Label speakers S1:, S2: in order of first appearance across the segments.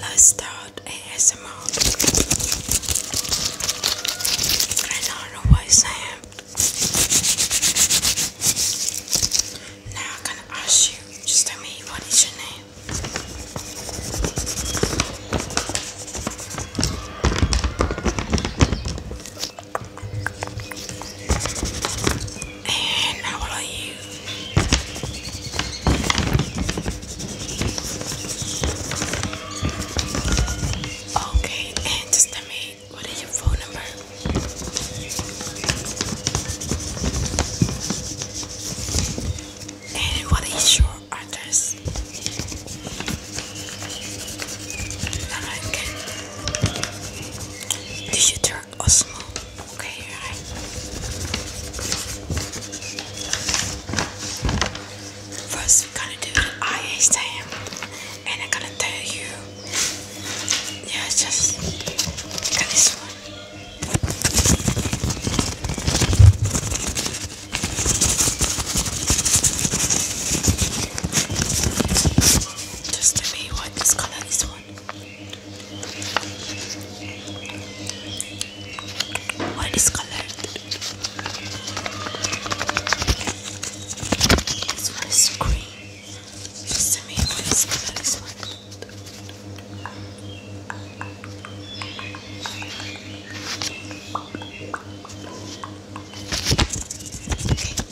S1: Let's start ASMR. I don't know what I'm saying. Now I'm gonna ask you, just tell me what is your name. And I use. Okay, and tell me what is your phone number? And what is your others. Alright, You should try Osmo. Okay, First, we're gonna do the eye and I'm gonna tell you. Yeah, just look this one. Just to be what this color one. What is colored? This one green. Just to me, what is colored? This one. Okay,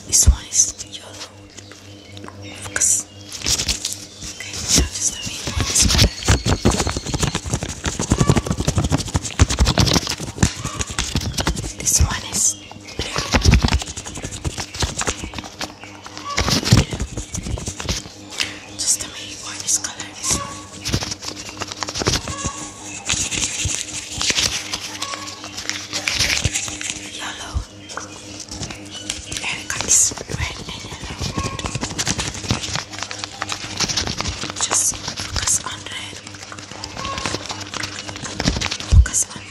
S1: this one is yellow. Focus. Okay, now just let me know this color. This one is blue. blue. Just a me why this color is yellow. Erica is red and yellow. Just focus on red. Focus on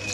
S1: red.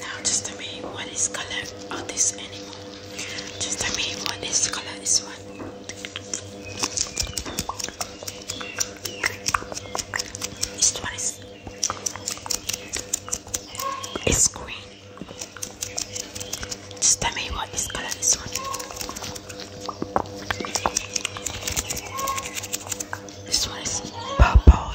S1: Now just tell me what is color of this animal. Just tell me what is color is what. This one is it's green. Just tell me what is color this one. This one is purple.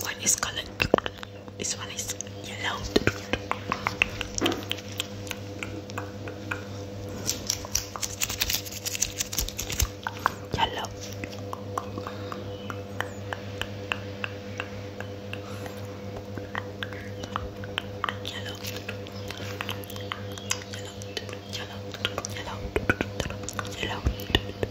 S1: One is this one is Yellow. Yellow. Yellow. Yellow. Yellow. Yellow.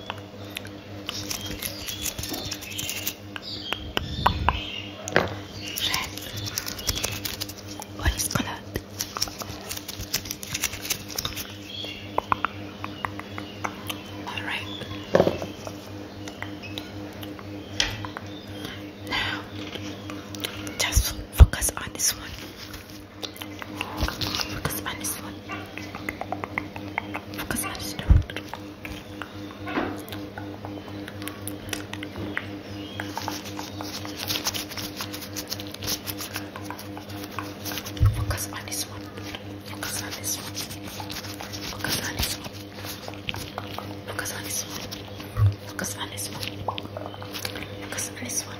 S1: Red. What is color? All right. Now, just focus on this one. Focus on this one. Focus on this one. Focus on this one. Focus on this one. Focus on this one. Focus on this one. Focus on this one. Focus on this one. Focus on this one.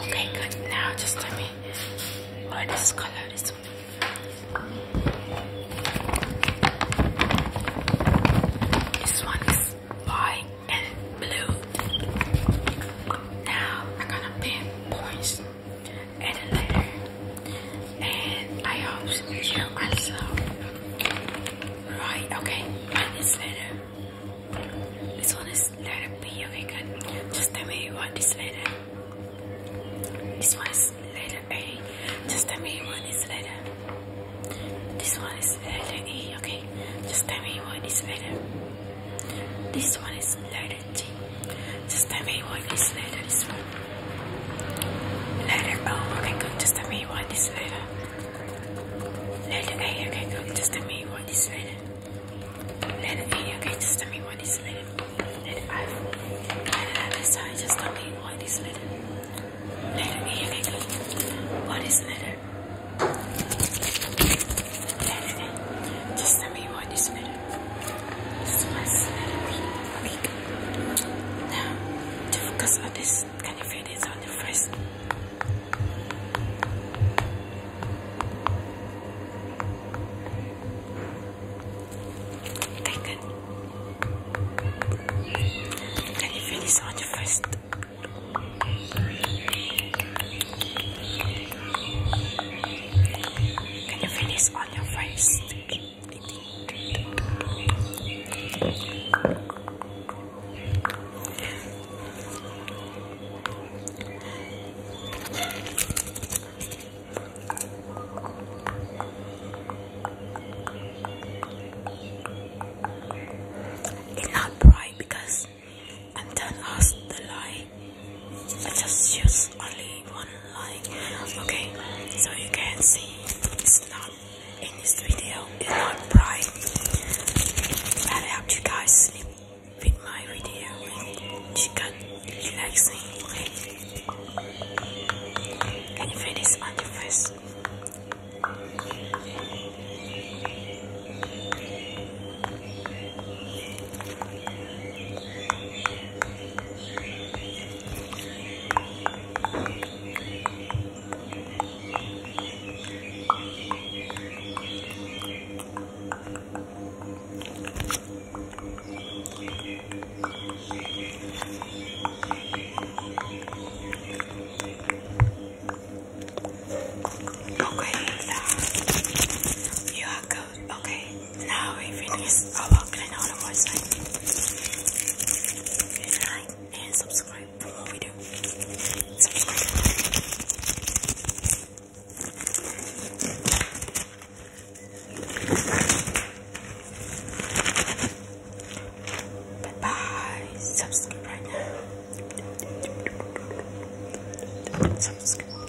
S1: Okay, good. Now just tell me what this color is. This one's white and blue. Now I'm gonna pin points at the letter. And I hope you also right, okay, this letter. This one is just let it be, okay good. Just tell me what this letter. This one is letter A. Just tell me what this letter. This one is letter E, okay? Just tell me what this letter. This one is letter T. Just tell me what this letter, this one. Letter O, okay Just tell me you this letter. Letter A, okay Just tell me you this letter. Let it be, okay? Just tell me what is lit. Let it five. Let it other side. Just tell me what is lit. Let it be, okay? What is lit? Let it be. Just tell me what is lit. So let's Okay. Now, to focus on this. Can you feel on your face? Take you Can you feel on your face? Can you feel this on your face? It's not bright because I'm done ask the light. I just use only one light. Okay, so you can see it's not in this video is not bright. That helped you guys sleep my video with chicken relaxing. Can you feel this on your Okay, you are good. Okay, now we finish our clean on the website. Good night and subscribe for more videos. Bye bye. Subscribe right now. Subscribe.